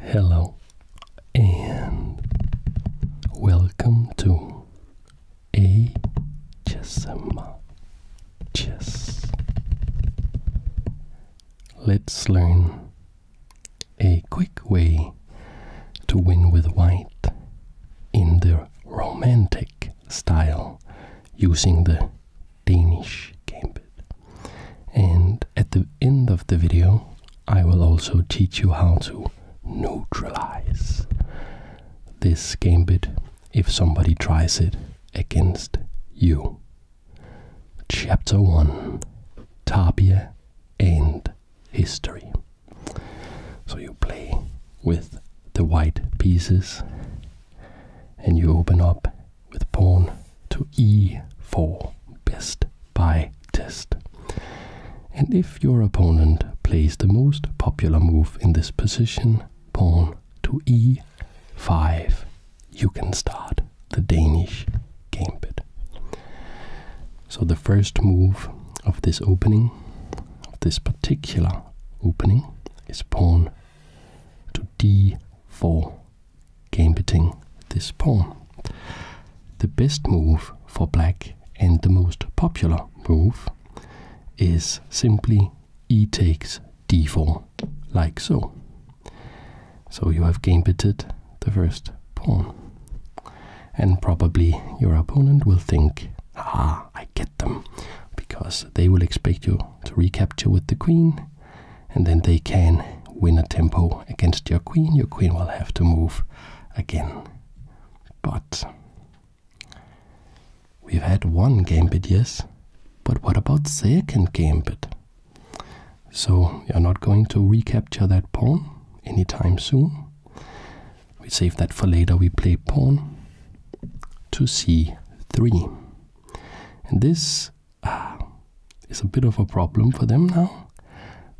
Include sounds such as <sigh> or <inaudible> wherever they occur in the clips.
Hello and welcome to a ASMR Chess. Let's learn a quick way to win with white in the romantic style using the Danish gambit and at the end of the video I will also teach you how to neutralize this gambit if somebody tries it against you. Chapter 1 Tapia and History. So you play with the white pieces and you open up with pawn to e4, best by test. And if your opponent plays the most popular move in this position, pawn to e5, you can start the Danish gambit. So the first move of this opening, of this particular opening, is pawn to d4 gambiting this pawn. The best move for black and the most popular move is simply e takes d4, like so. So you have gambited the first pawn. And probably your opponent will think, ah, I get them, because they will expect you to recapture with the queen, and then they can win a tempo against your queen. Your queen will have to move again. But we've had one gambit, yes, but what about second gambit? So you're not going to recapture that pawn anytime soon. We save that for later. We play pawn to c3. And this uh, ah, is a bit of a problem for them now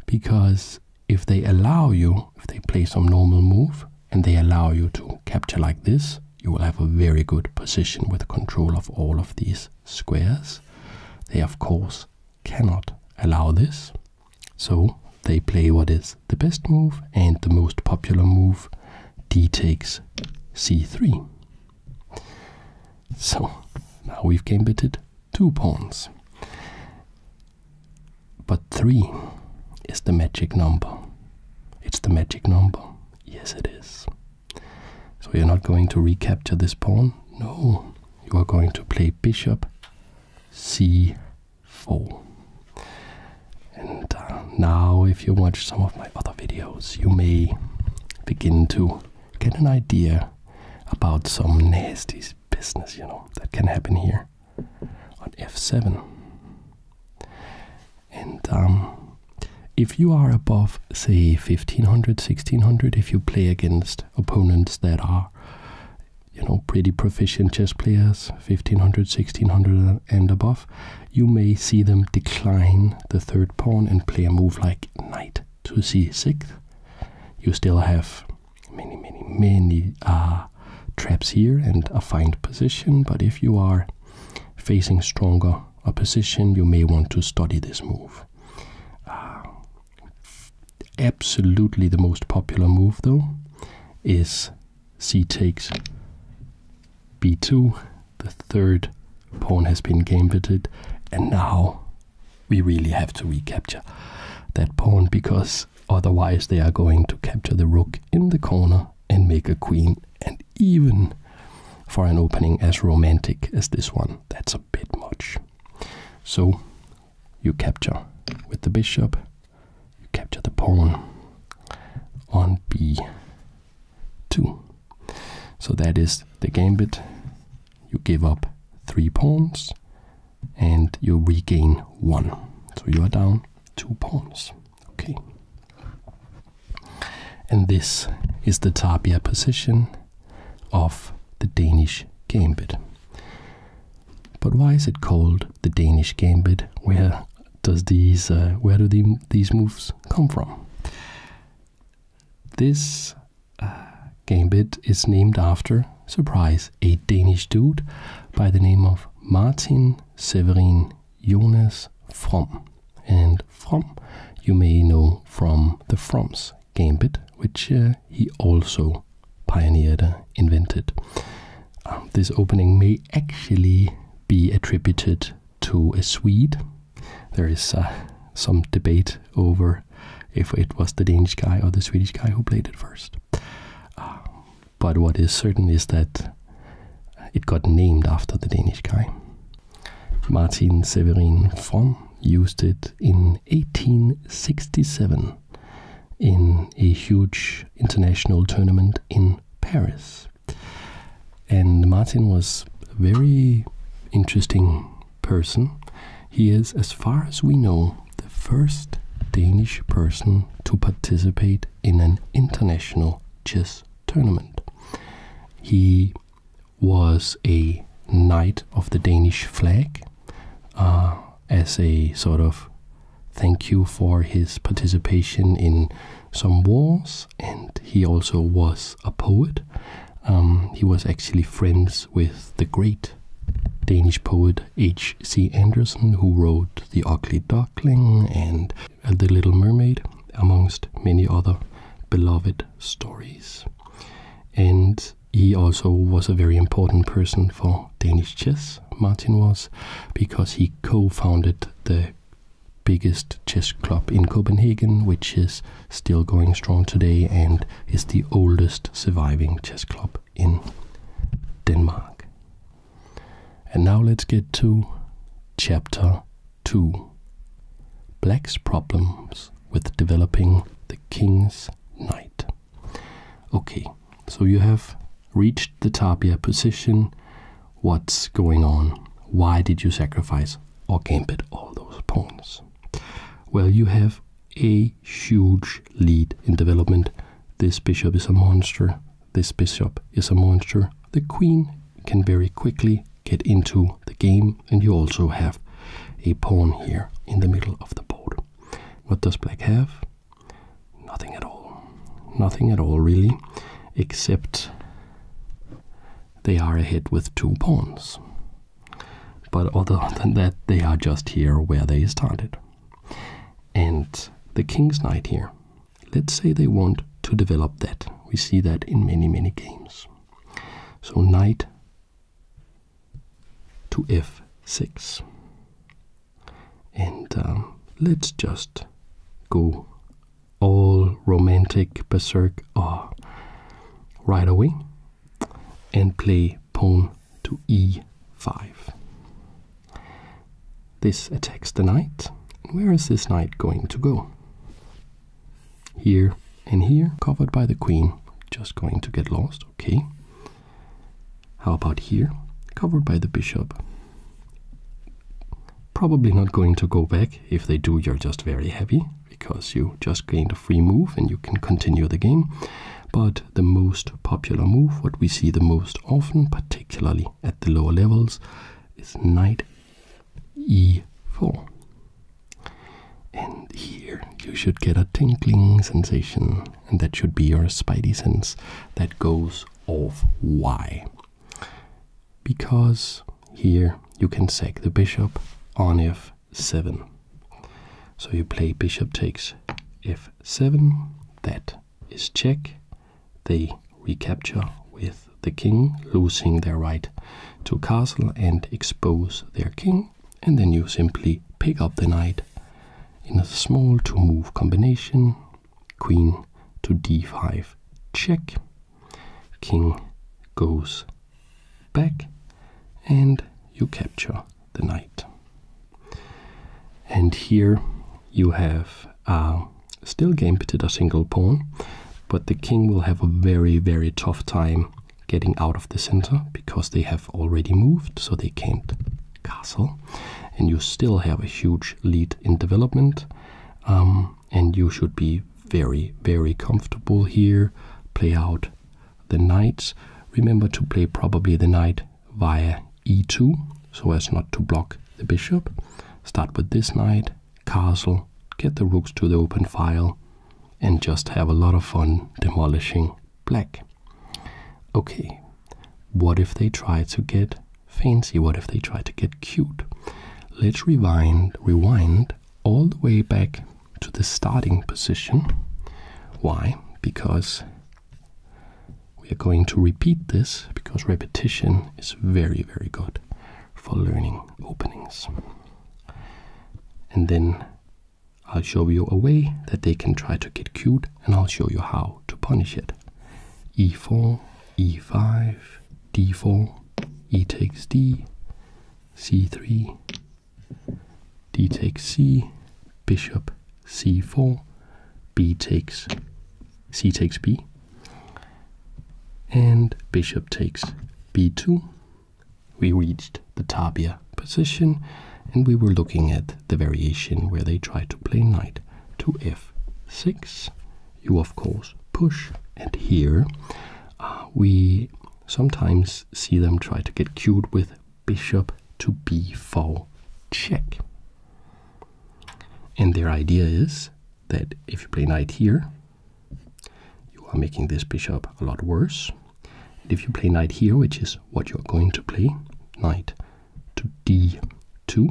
because if they allow you, if they play some normal move and they allow you to capture like this, you will have a very good position with control of all of these squares. They, of course, cannot allow this. So they play what is the best move and the most popular move, d takes c3. So now we've gambitted two pawns. But three is the magic number. It's the magic number. Yes, it is. So you're not going to recapture this pawn? No. You are going to play bishop c4. And uh, now, if you watch some of my other videos, you may begin to get an idea about some nasty business, you know, that can happen here on f7. And um, if you are above, say, 1500, 1600, if you play against opponents that are, you know, pretty proficient chess players, 1500, 1600, and above, you may see them decline the third pawn and play a move like knight to c6. You still have many, many, many uh, traps here and a fine position, but if you are facing stronger opposition, you may want to study this move. Uh, absolutely the most popular move, though, is c takes b2 the third pawn has been gambited, and now we really have to recapture that pawn because otherwise they are going to capture the rook in the corner and make a queen. And even for an opening as romantic as this one, that's a bit much. So you capture with the bishop, you capture the pawn on b two. So that is the gambit. You give up three pawns and you regain one. So you are down two pawns. Okay. And this is the tapia position of the Danish gambit. But why is it called the Danish gambit? Where does these uh, where do the, these moves come from? This uh, gambit is named after, surprise, a Danish dude by the name of Martin Severin Jonas From. And From, you may know from the From's gambit, which uh, he also pioneered, invented. Um, this opening may actually be attributed to a Swede. There is uh, some debate over if it was the Danish guy or the Swedish guy who played it first. Um, but what is certain is that it got named after the Danish guy. Martin Severin von. used it in 1867 in a huge international tournament in Paris. And Martin was a very interesting person. He is, as far as we know, the first Danish person to participate in an international chess tournament. He was a knight of the Danish flag uh, as a sort of thank you for his participation in some wars and he also was a poet. Um, he was actually friends with the great Danish poet H.C. Andersen, who wrote The Ugly Duckling and The Little Mermaid, amongst many other beloved stories. And he also was a very important person for Danish chess, Martin was, because he co founded the biggest chess club in Copenhagen, which is still going strong today and is the oldest surviving chess club in Denmark. And now let's get to chapter 2 Black's problems with developing the king's knight. Okay, so you have reached the Tapia position, what's going on? Why did you sacrifice or gambit all those pawns? Well, you have a huge lead in development. This bishop is a monster. This bishop is a monster. The queen can very quickly get into the game, and you also have a pawn here in the middle of the board. What does black have? Nothing at all. Nothing at all, really, except they are ahead with two pawns. But other <laughs> than that, they are just here where they started. And the king's knight here, let's say they want to develop that. We see that in many, many games. So knight to f6. And um, let's just go all romantic berserk uh, right away and play pawn to e5. This attacks the knight. Where is this knight going to go? Here and here, covered by the queen. Just going to get lost, okay. How about here? Covered by the bishop. Probably not going to go back. If they do, you're just very happy because you just gained a free move and you can continue the game. But the most popular move, what we see the most often, particularly at the lower levels, is knight e4. And here you should get a tinkling sensation, and that should be your spidey sense that goes of why, Because here you can sack the bishop on f7. So you play bishop takes f7, that is check. They recapture with the king, losing their right to castle and expose their king. And then you simply pick up the knight in a small two move combination queen to d5 check king goes back and you capture the knight and here you have uh, still gambited a single pawn but the king will have a very very tough time getting out of the center because they have already moved so they can't castle and you still have a huge lead in development um, and you should be very very comfortable here play out the knights remember to play probably the knight via e2 so as not to block the bishop start with this knight castle get the rooks to the open file and just have a lot of fun demolishing black. Okay, what if they try to get fancy? What if they try to get cute? Let's rewind, rewind all the way back to the starting position. Why? Because we are going to repeat this because repetition is very, very good for learning openings. And then I'll show you a way that they can try to get cute and I'll show you how to punish it. e4, e5, d4, e takes d, c3, d takes c, bishop c4, b takes c takes b, and bishop takes b2. We reached the tabia position and we were looking at the variation where they try to play knight to f6. You, of course, push, and here uh, we sometimes see them try to get cued with bishop to b4 check. And their idea is that if you play knight here, you are making this bishop a lot worse. And if you play knight here, which is what you're going to play, knight to d2,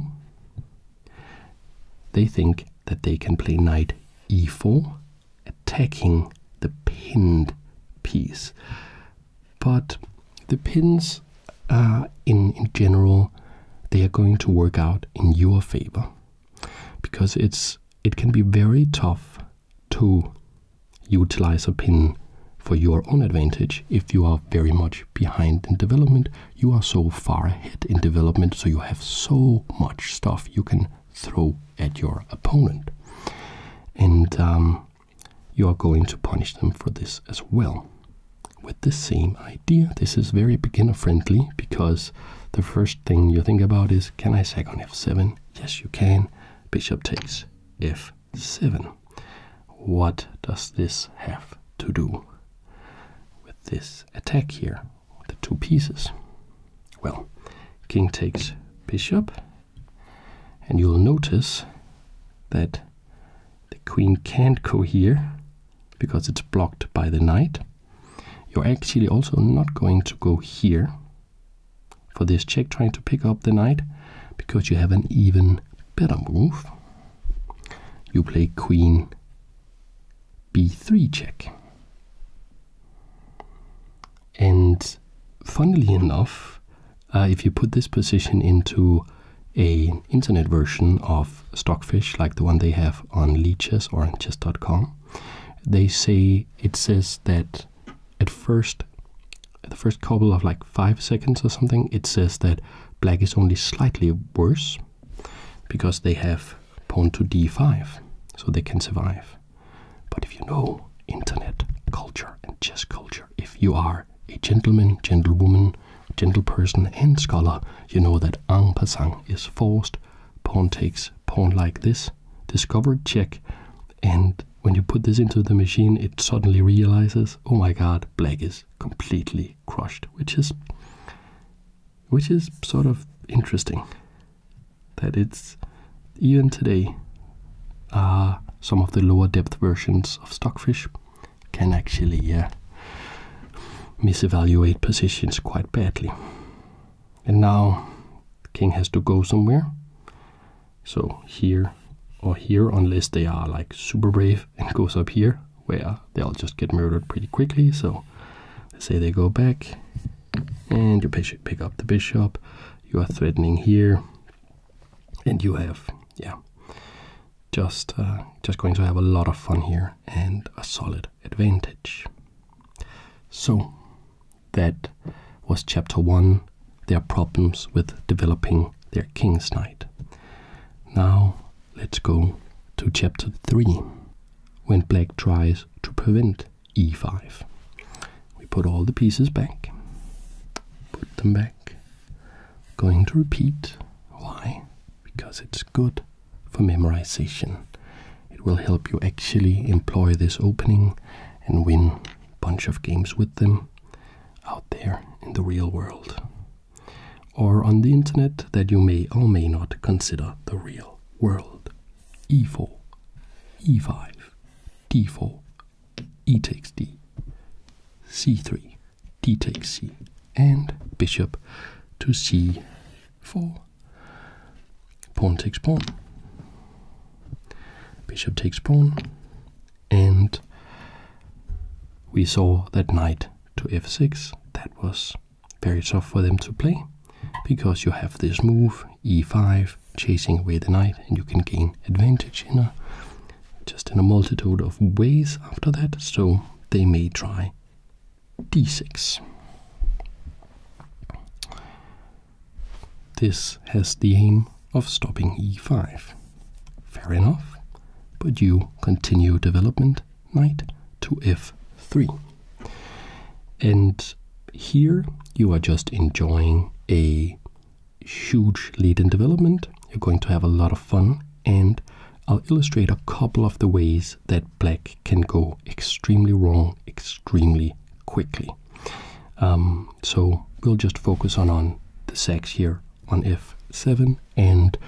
they think that they can play knight e4, attacking the pinned piece. But the pins, are uh, in, in general, they are going to work out in your favor because it's it can be very tough to utilize a pin for your own advantage. If you are very much behind in development, you are so far ahead in development, so you have so much stuff you can throw at your opponent. And um, you are going to punish them for this as well. With the same idea, this is very beginner friendly because the first thing you think about is can I sack on f7? Yes, you can. Bishop takes f7 what does this have to do with this attack here, the two pieces? Well, king takes bishop, and you'll notice that the queen can't go here because it's blocked by the knight. You're actually also not going to go here for this check trying to pick up the knight because you have an even better move. You play queen b3 check. And funnily enough, uh, if you put this position into an internet version of Stockfish, like the one they have on Lee or chess.com, they say it says that at first, at the first couple of like five seconds or something, it says that black is only slightly worse because they have pawn to d5, so they can survive. But if you know internet culture and chess culture, if you are a gentleman, gentlewoman, gentleperson, and scholar, you know that ang pasang is forced, pawn takes pawn like this, discovered check, and when you put this into the machine, it suddenly realizes, oh my god, black is completely crushed, which is which is sort of interesting. That it's even today, uh, some of the lower depth versions of stockfish can actually uh, misevaluate positions quite badly. And now, king has to go somewhere so here or here unless they are like super brave and goes up here where they'll just get murdered pretty quickly so say they go back and you pick up the bishop you are threatening here and you have yeah just uh, just going to have a lot of fun here and a solid advantage so that was chapter 1 their problems with developing their king's knight. Now let's go to chapter 3 when black tries to prevent e5. We put all the pieces back, put them back. Going to repeat. Why? Because it's good for memorization. It will help you actually employ this opening and win bunch of games with them out there in the real world or on the internet that you may or may not consider the real world. e4, e5, d4, e takes d, c3, d takes c, and bishop to c4 pawn takes pawn, bishop takes pawn, and we saw that knight to f6. That was very tough for them to play because you have this move e5 chasing away the knight and you can gain advantage in a just in a multitude of ways after that so they may try d6 this has the aim of stopping e5. Fair enough, but you continue development knight to f3. And here you are just enjoying a huge lead in development. You're going to have a lot of fun, and I'll illustrate a couple of the ways that black can go extremely wrong, extremely quickly. Um, so we'll just focus on, on the sex here on f7 and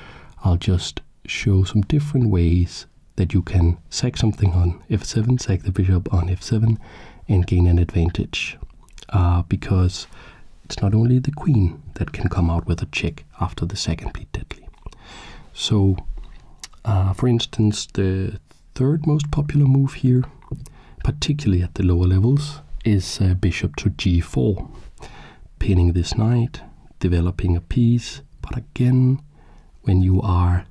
I'll just show some different ways that you can sack something on f7, sack the bishop on f7 and gain an advantage uh, because it's not only the queen that can come out with a check after the second beat deadly. So, uh, for instance, the third most popular move here, particularly at the lower levels, is uh, bishop to g4, pinning this knight, developing a piece. But again, when you are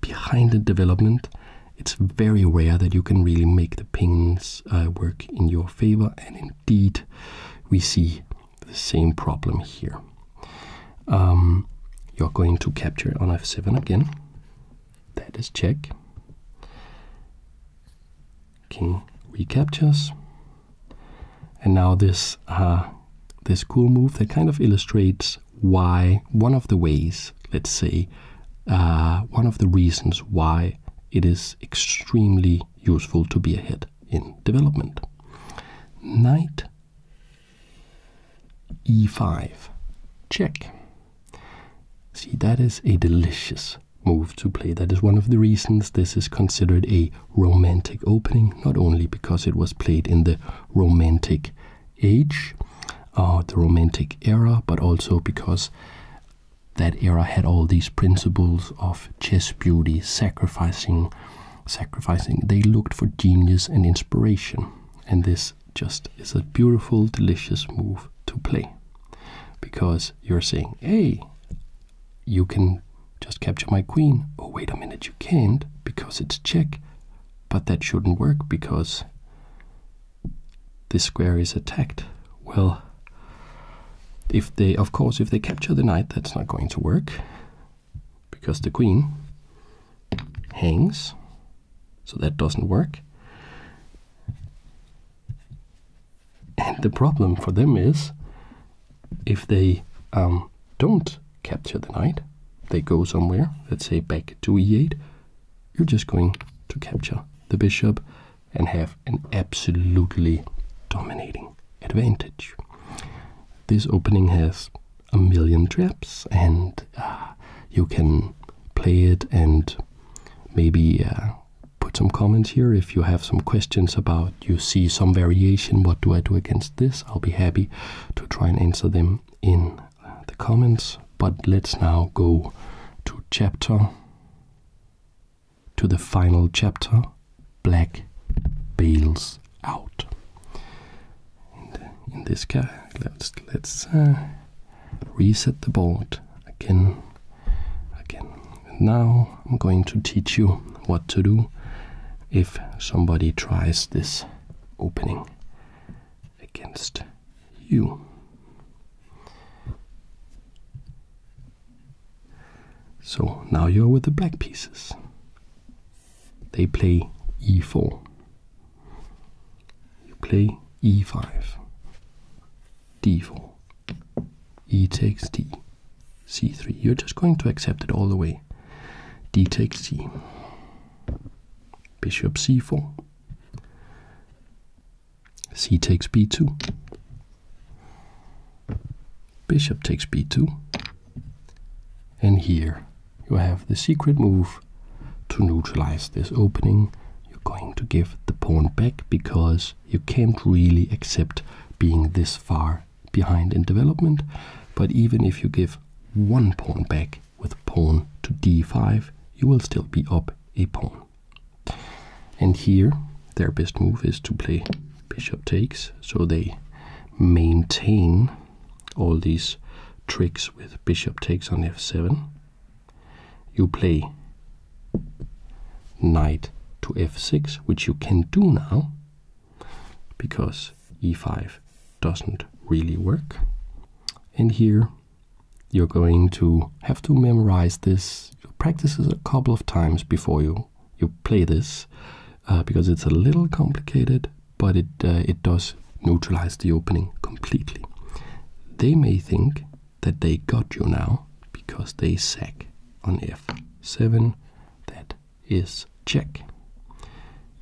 behind in development, it's very rare that you can really make the pings uh, work in your favor, and indeed, we see the same problem here. Um, you're going to capture on f7 again. That is check. King recaptures. And now this uh, this cool move that kind of illustrates why one of the ways, let's say, uh, one of the reasons why it is extremely useful to be ahead in development. Knight e5 check see that is a delicious move to play that is one of the reasons this is considered a romantic opening not only because it was played in the romantic age uh, the romantic era but also because that era had all these principles of chess beauty sacrificing sacrificing they looked for genius and inspiration and this just is a beautiful, delicious move to play because you're saying, hey, you can just capture my queen. Oh, wait a minute, you can't because it's check. But that shouldn't work because this square is attacked. Well, if they, of course, if they capture the knight, that's not going to work because the queen hangs, so that doesn't work. And the problem for them is if they um, don't capture the knight, they go somewhere, let's say back to e8, you're just going to capture the bishop and have an absolutely dominating advantage. This opening has a million traps, and uh, you can play it and maybe uh, put some comments here if you have some questions about you see some variation. What do I do against this? I'll be happy to try and answer them in uh, the comments. But let's now go to chapter to the final chapter Black Bales out. Uh, in, this guy, let's uh, reset the board again, again. now I'm going to teach you what to do if somebody tries this opening against you. So now you're with the black pieces they play e4. You play e5, d4, e takes d, c3. You're just going to accept it all the way. d takes c, bishop c4, c takes b2, bishop takes b2. And here you have the secret move to neutralize this opening. You're going to give the pawn back because you can't really accept being this far behind in development. But even if you give one pawn back with pawn to d5, you will still be up a pawn. And here, their best move is to play bishop takes, so they maintain all these tricks with bishop takes on f7 you play knight to f6 which you can do now because e5 doesn't really work and here you're going to have to memorize this You practice this a couple of times before you you play this uh, because it's a little complicated, but it uh, it does neutralize the opening completely. They may think that they got you now because they sack on f7. That is check,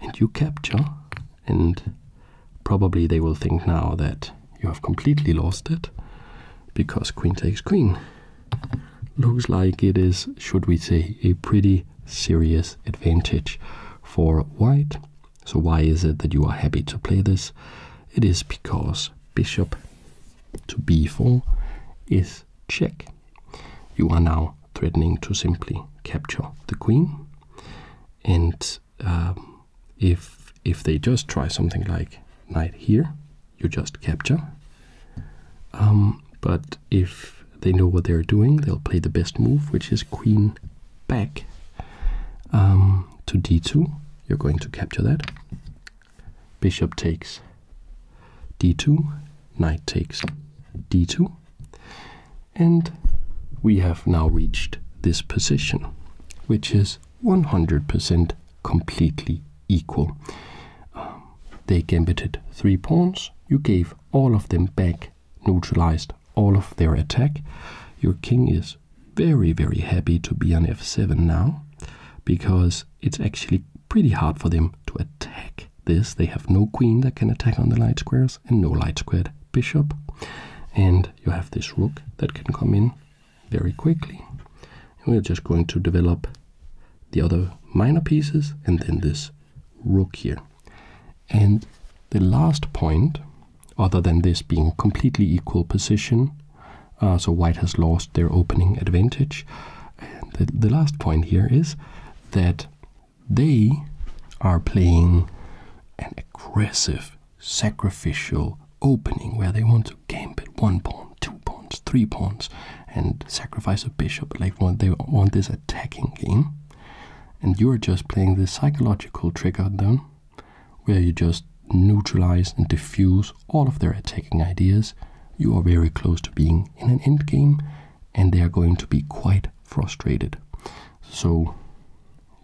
and you capture, and probably they will think now that you have completely lost it because queen takes queen looks like it is, should we say, a pretty serious advantage for white. So why is it that you are happy to play this? It is because bishop to b4 is check. You are now threatening to simply capture the queen. And um, if if they just try something like knight here, you just capture um, but if they know what they're doing, they'll play the best move, which is queen back um, to d2. You're going to capture that. Bishop takes d2, knight takes d2, and we have now reached this position, which is 100% completely equal. Um, they gambited three pawns. You gave all of them back, neutralized all of their attack. Your king is very, very happy to be on f7 now because it's actually pretty hard for them to attack this. They have no queen that can attack on the light squares and no light squared bishop. And you have this rook that can come in very quickly. we're just going to develop the other minor pieces, and then this rook here. And the last point, other than this being completely equal position, uh, so white has lost their opening advantage, the, the last point here is that they are playing an aggressive, sacrificial opening where they want to gambit one pawn two pawns, three pawns, and sacrifice a bishop. Like they want this attacking game, and you are just playing this psychological trick on them, where you just neutralize and diffuse all of their attacking ideas. You are very close to being in an endgame, and they are going to be quite frustrated. So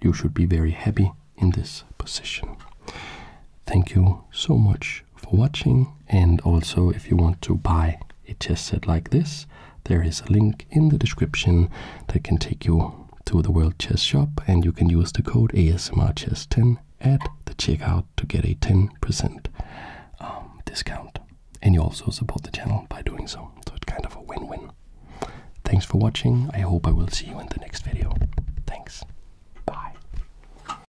you should be very happy in this position. Thank you so much for watching and also if you want to buy a chess set like this, there is a link in the description that can take you to the World Chess Shop and you can use the code ASMRChess10 at the checkout to get a 10% um, discount. And you also support the channel by doing so, so it's kind of a win-win. Thanks for watching, I hope I will see you in the next video. Thanks, bye.